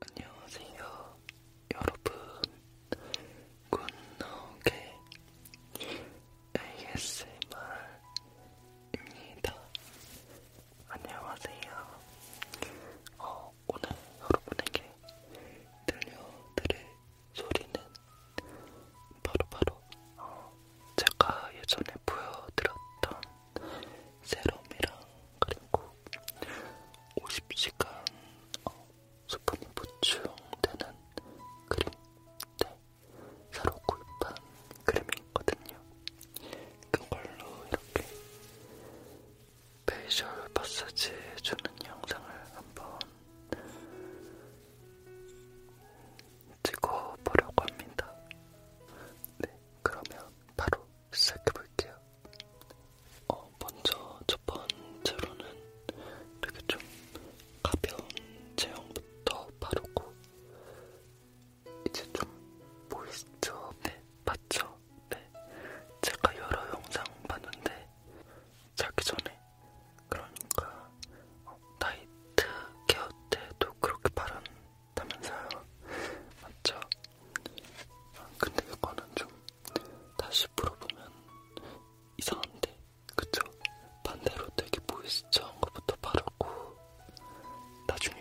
안녕하세요, 여러분. 굿노게 ASMR입니다. 안녕하세요. 어, 오늘 여러분에게 들려드릴 소리는 바로바로 바로, 어, 제가 예전에 보여드렸던 세럼이랑 그리고 50시간 어, 수분이 보충되는 크림 네, 새로 구입한 크림이 있거든요. 그걸로 이렇게 페이셜 마사지 해주는 영상을 한번 찍어보려고 합니다. 네, 그러면 바로 시작해볼게요. 어, 먼저 첫 번째로는 이렇게 좀 가벼운 제형부터 바르고 이제 좀 모이스처 네, 맞죠? 네, 제가 여러 영상 봤는데 자기 전에 그러니까 어, 나이트 케어 때도 그렇게 바란다면서요. 맞죠? 근데 이거는 좀 다시 물어보면 이상한데, 그쵸? 반대로 되게 보이스처한 것부터 바르고 나중에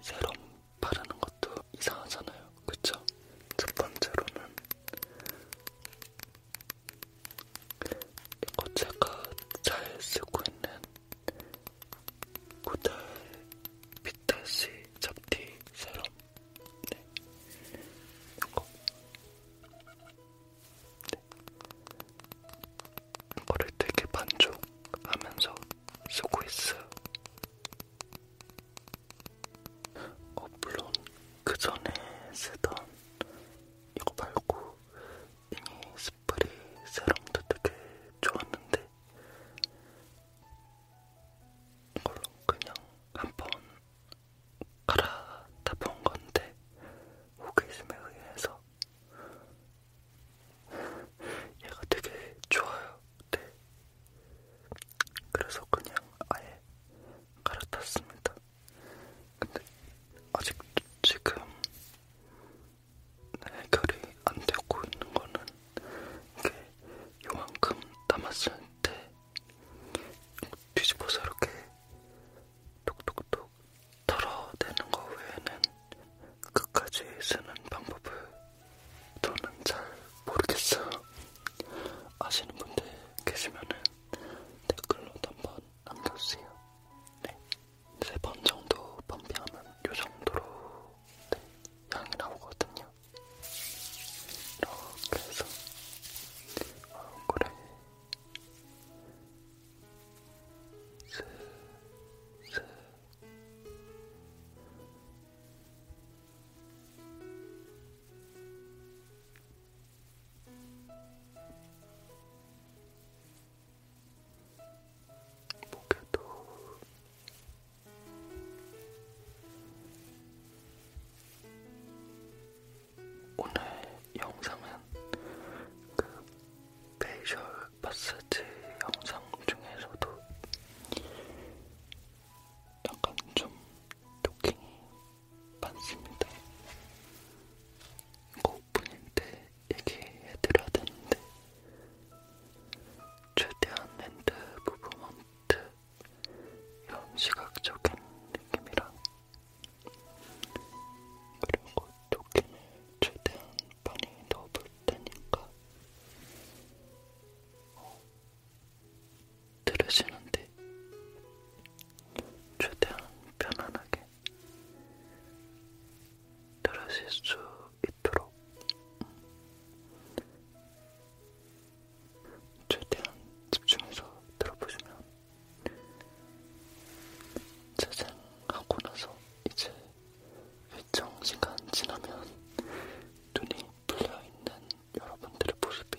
세럼 바르는 것도 이상하잖아요, 그쵸? 첫 번째로는 이거 제가 잘 쓰고 있는 구달 비타시 잡티 세럼 네. 이거 네. 이거를 되게 만족하면서 쓰고 있어요. 어, 물론 그 전에 쓰던 이거 말고 비니 스프레이 세럼도 되게 좋았는데 이걸로 그냥 한번 갈아다 본 건데 호기심에 의해서 얘가 되게 좋아요. 네. 그래서 그냥 아예 갈아탔습니다. 근데 아직도 지금 해결이 안 되고 있는 거는 이게 요만큼 남았을 때 뒤집어서 이렇게 톡톡톡 털어내는 거 외에는 끝까지 쓰는 방법을 저는 잘 모르겠어요. 아시는 분들 계시면은 댓글로 한번 남겨주세요. 네, 세번 정도 펌핑하면 이 정도로 네, 향이 나오거든요. 이렇게 해서 얼굴에 슥슥 목에도 오늘 영상은 그 페이셜 마사지 영상 중에서도 약간 좀 토킹이 많습니다. 오프닝 때 얘기해드려야 되는데 최대한 핸드 무브먼트 이런 시각적인 느낌이랑 그리고 토끼는 최대한 많이 넣어볼 테니까 어, 들으시는데 최대한 편안하게 들으실 수 있도록 최대한 집중해서 들어보시면 재생하고 나서 이제 일정 시간 지나면 눈이 풀려있는 여러분들의 모습이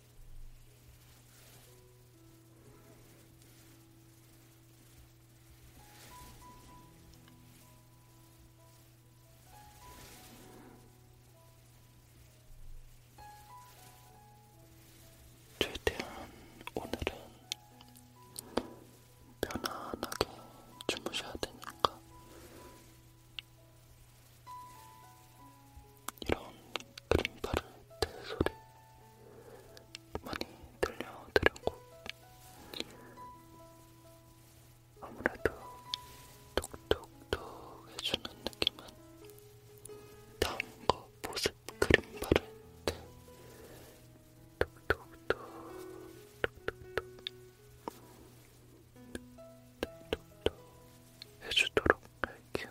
최대한 오늘은 편안하게 주무셔야 되니까 이런 그림파를 대 소리 많이 들려드렸고 아무래도 톡톡톡 해주는 느낌은 다음과 보습 그림 바를 때 톡톡톡 톡톡톡 톡톡톡 해주도록 할게요.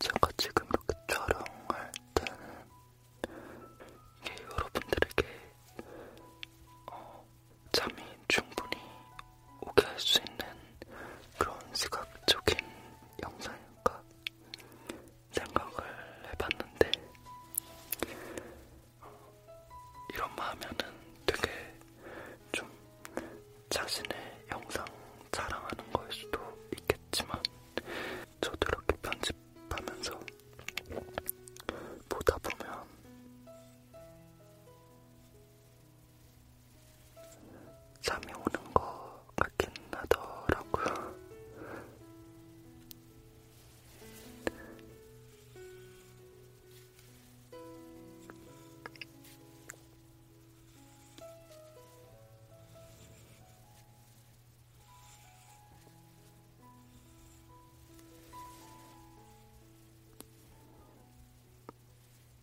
제가 지금 이렇게 촬영할 때는 이게 여러분들에게 어, 잠이 충분히 오게 할 수 있는 그런 시각적인 영상이 않을까 생각을 해봤는데 이런 마음에는 되게 좀 자신의 영상 자랑하는 거일 수도 있겠지만 저도 이렇게 편집하면서 보다 보면 잠이 오는 것 같긴 하더라고요.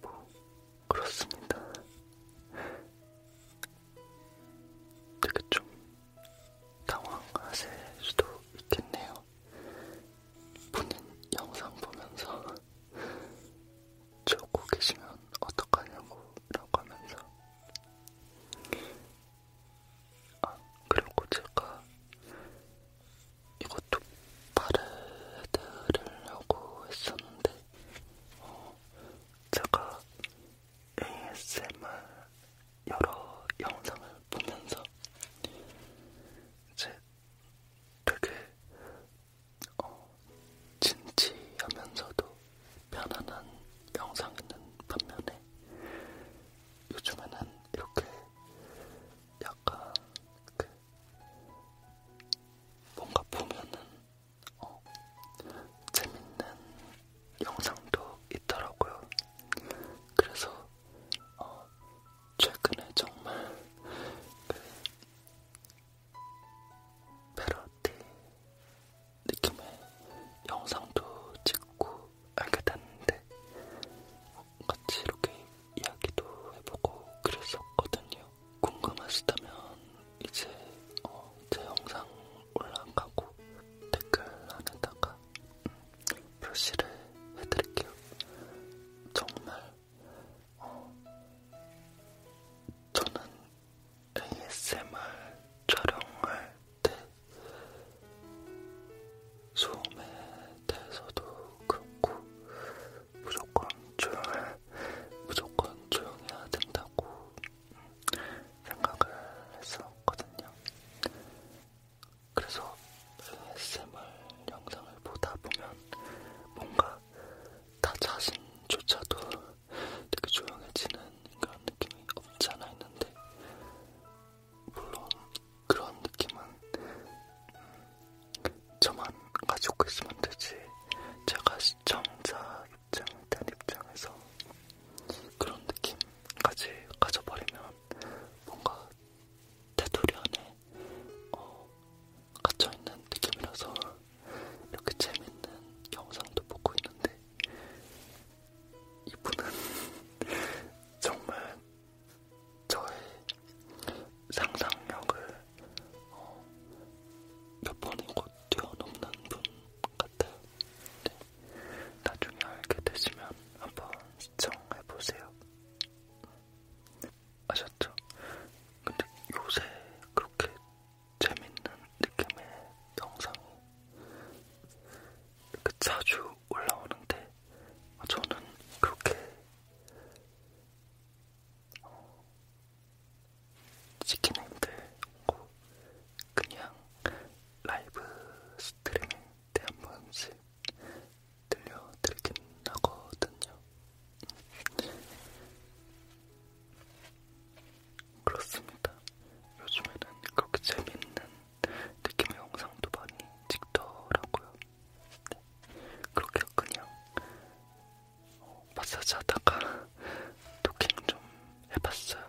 뭐 그렇습니다. 되게 좀 당황하실 수도 있겠네요. 본인 영상 보면서 저고 계시면 어떡하냐고 라고 하면서 아, 그리고 제가 이것도 바르려고 했었는데, 어, 제가 ASMR 여러 영상을 보면서 이제 되게 어, 진지하면서도 편안한 영상이 있는 반면에 요즘에는 이렇게 약간 그 뭔가 보면은 어, 재밌는 영상도 있더라고요. 그래서 어, 최근에 정말 그 패러디 느낌의 영상도 찍고 알게 됐는데 같이 이렇게 이야기도 해보고 그랬었거든요. 궁금하시다면 이제 어, 제 영상 올라가고 댓글 안에다가 음, 표시를 해드릴게요. 정말 어, 저는 ASMR 촬영을 때 소음에 대해서도 그렇고 무조건 조용해, 무조건 조용해야 된다고 생각을 했었거든요. 그래서 ASMR 영상을 보다 보면 뭔가 나 자신조차도 되게 조용해지는 그런 느낌이 없지 않아 있는데 물론 그런 느낌은 음, 저만 가지고 있으면 되지 제가 시청자 입장일 땐 입장에서 그런 느낌까지 가져버리면 뭔가 테두리 안에 어, 갇혀있는 느낌이라서 이렇게 재밌는 영상도 보고 있는데 이분은 정말 저의 상상력을 어, 몇 번이고 뛰어넘는 분 같아요. 네. 나중에 알게 되시면 한번 시청해보세요. 아셨죠? 근데 요새 그렇게 재밌는 느낌의 영상이 그 자주 올라오는데 아, 저는 그렇게 어, 찍기는 힘들고 그냥 라이브 스트리밍 때 한 번씩 들려드리긴 하거든요. 그렇습니다. 요즘에는 그렇게 재밌는 느낌의 영상도 많이 찍더라고요. 네. 그렇게 그냥 어, 마사지 하다가 토킹 좀 해봤어요.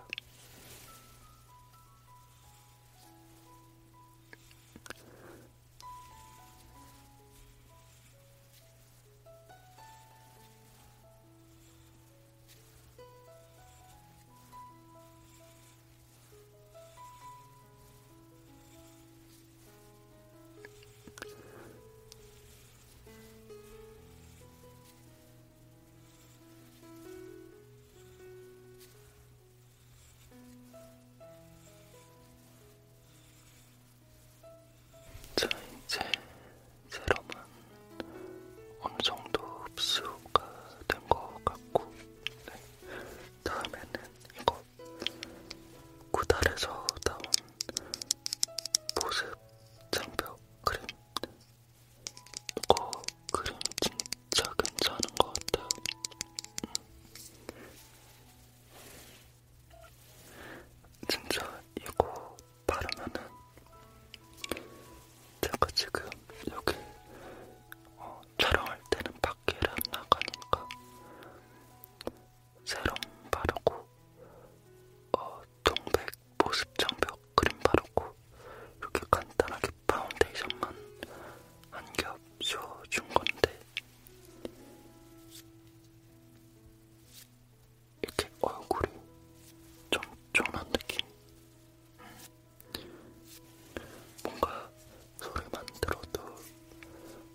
자, 이제 세럼은 어느 정도 흡수가 된 것 같고, 네. 다음에는 이거 구달에서 나온 보습 장벽 크림. 이거 크림 진짜 괜찮은 것 같아요. 음. 진짜 이거 바르면은 제가 지금 여기 어, 촬영할 때는 밖에를 안 나가니까 세럼 바르고 어, 동백 보습장벽 크림 바르고 이렇게 간단하게 파운데이션만 한겹 씌워준 건데 이렇게 얼굴이 쫀쫀한 느낌. 뭔가 소리만 들어도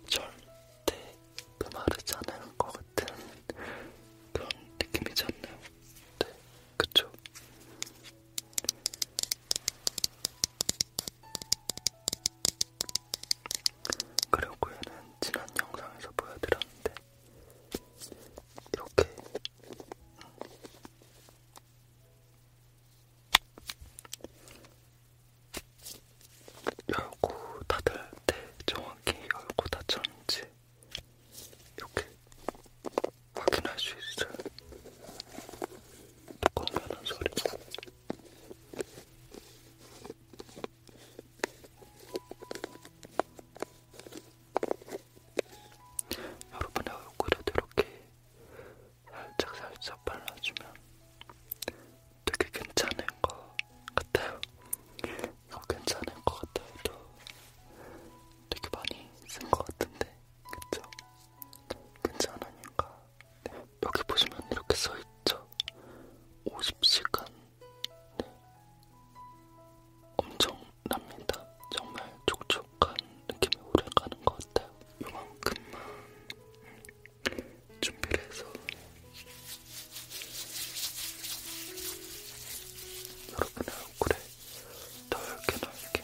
절대 메마르지 않을 것 같은 그런 느낌이지 않나요? 네, 그쵸? 그리고 얘는 지난 영상에서 보여드렸는데 이렇게 열고 닫을 때 정확히 열고 닫혔는지 이렇게 확인할 수 있어요. 뚜껑 여는 소리. 여러분의 얼굴에도 이렇게 살짝 살짝 발라주면 되게 괜찮은 것 같아요. 이거 어, 괜찮은 것 같아요. 또 되게 많이 쓴 것 같은데, 그쵸? 괜찮으니까. 네. 여기 보시면 이렇게 써있죠? 50시간. 네. 엄청 납니다. 정말 촉촉한 느낌이 오래 가는 것 같아요. 요만큼만 준비를 해서 여러분의 얼굴에 넓게 넓게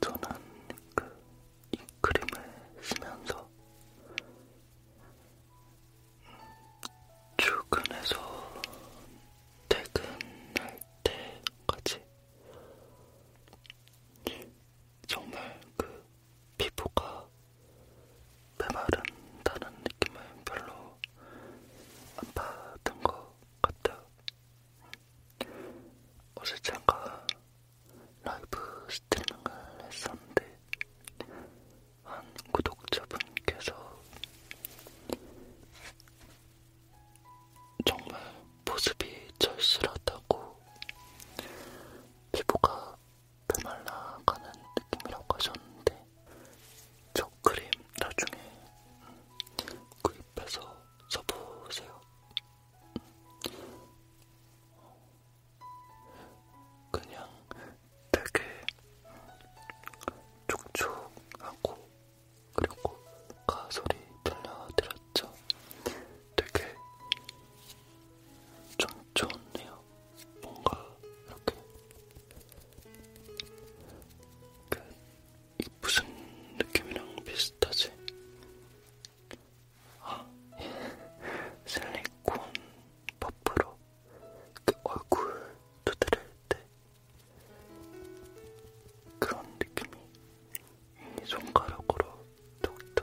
저는 그이 크림을 쓰면서 출근해서 퇴근할 때까지 정말 그 피부가 메마른다는 느낌은 별로 안 받은 것 같아요. 어제 잠깐 라이브 스트리밍을 했었는데 한 구독자분께서 정말 모습이 절실하다고 피부가 메말라가는 느낌이라고 하셨는데 저 크림 나중에 음, 구입해서 써보세요. 그냥 되게 음, 촉촉하고 그리고 가소리 들려드렸죠. 되게 좀 좋네요. 뭔가 이렇게 그 무슨 느낌이랑 비슷하지? 아, 예. 실리콘 퍼프로 그 얼굴 두드릴 때 그런 느낌이 이 손가락으로 톡톡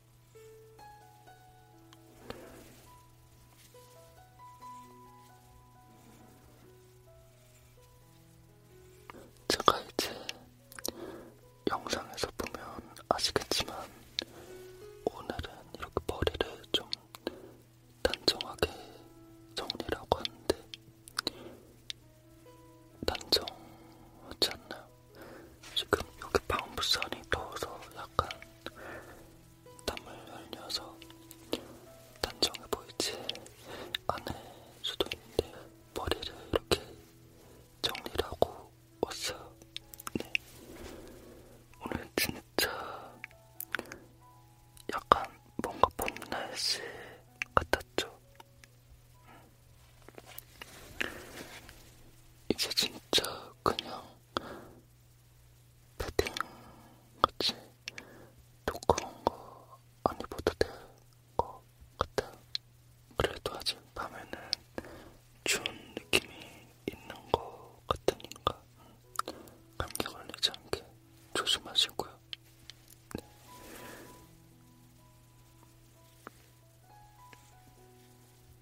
제가 이제 영상에서 보면 아시겠지만 오늘은 이렇게 머리를 좀 단정하게 정리라고 하는데 단정하지 않나요? 지금 여기 방부산이 더워서 약간 땀을 흘려서 단정해 보이지 않을 수도 있는데 머리를 이렇게 정리를 하고 왔어요. 네. 오늘 진짜 약간 뭔가 봄 날씨 같았죠. 이제 진짜 그냥 패딩 같이 두꺼운 거안 입어도 될것 같아. 그래도 아직 밤에는 추운 느낌이 있는 것 같으니까 감기 걸리지 않게 조심하시고요. 네.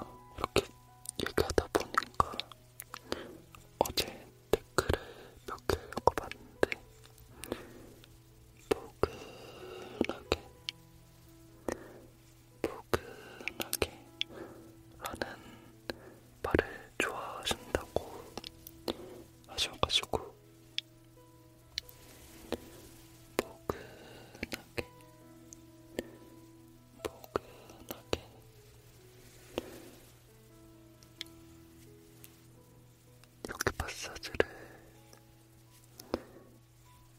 어, 이렇게 얘기하다 보니까 어제 댓글을 몇 개 읽어봤는데 포근하게 포근하게 라는 말을 좋아하신다고 하셔가지고 포근하게 포근하게 포근하게 이렇게 마사지를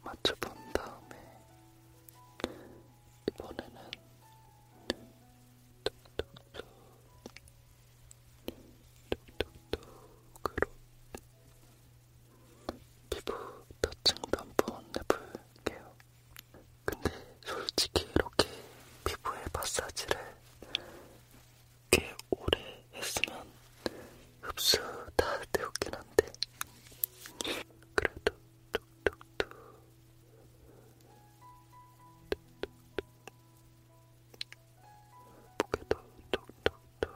맞춰본 다음에 이번에는 툭툭툭 툭툭툭으로 피부 터층 면봉 해볼게요. 근데 솔직히 이렇게 피부에 마사지를 꽤 오래 했으면 흡수 다 되었긴 한데 그래도 뚝뚝뚝 목에도 뚝뚝뚝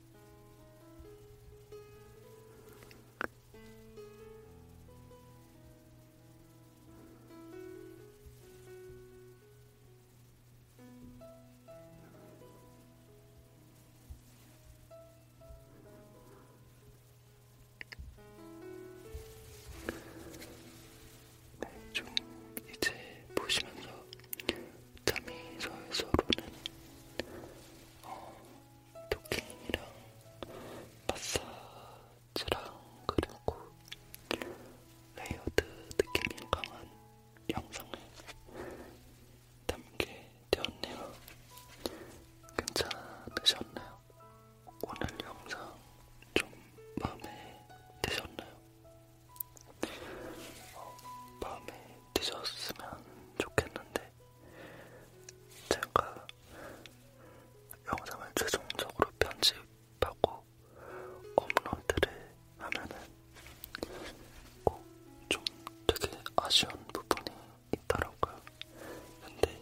네, 좀 이제 보시면서 짬이 서로는 어, 토킹이랑 마사지랑 그리고 레이어드 느낌이 강한 영상을 담게 되었네요. 괜찮으셨나요? 오늘 영상 좀 마음에 드셨나요? 어, 마음에 드셨으면 좋겠는데 제가 영상을 최종적으로 편집하고 업로드를 하면은 꼭 좀 되게 아쉬운 부분이 있더라고요. 근데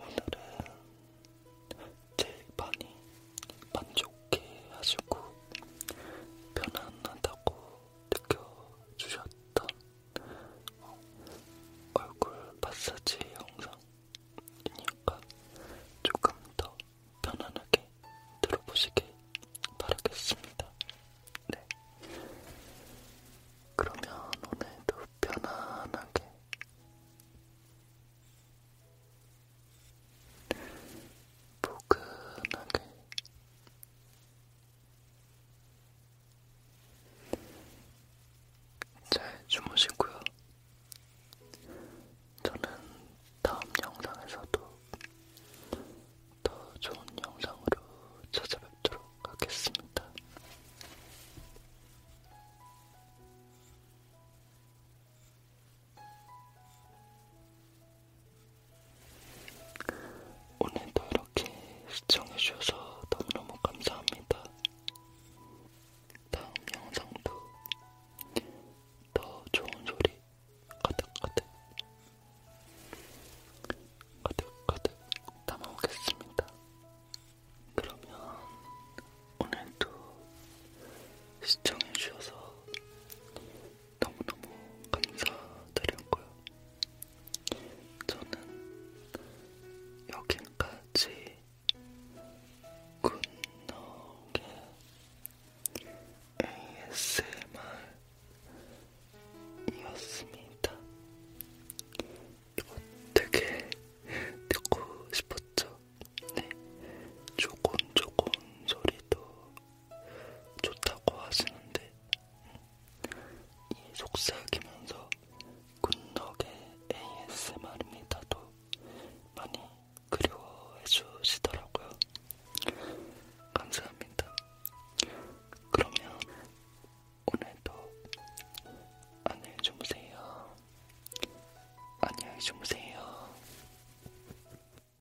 오늘은 제일 많이 만족해 하시고 편안하다고 느껴주셨던 어, 얼굴 마사지 영상이니까 조금 더 편안하게 들어보시길 바라겠습니다. 네. 그러면 오늘도 편안하게 포근하게 잘 주무시고요. 저는 다음 영상에서도 더 좋은 영상으로 찾아뵙도록 하겠습니다. 오늘도 이렇게 시청해주셔서 너무너무 감사합니다. 다음 영상도 더 좋은 소리 가득가득 가득가득 담아오겠습니다. 그러면 오늘도 시청해주셔서 너무너무 감사드렸고요. 저는 여기까지 굿노게 ASMR이었습니다. 이거 되게 듣고 싶었죠? 네, 조곤조곤 소리도 좋다고 하시는데 이 속삭이면서 군덕의 ASMR입니다도 많이 그리워해 주시더라고요. 감사합니다. 그러면 오늘도 안녕히 주무세요. 안녕히 주무세요.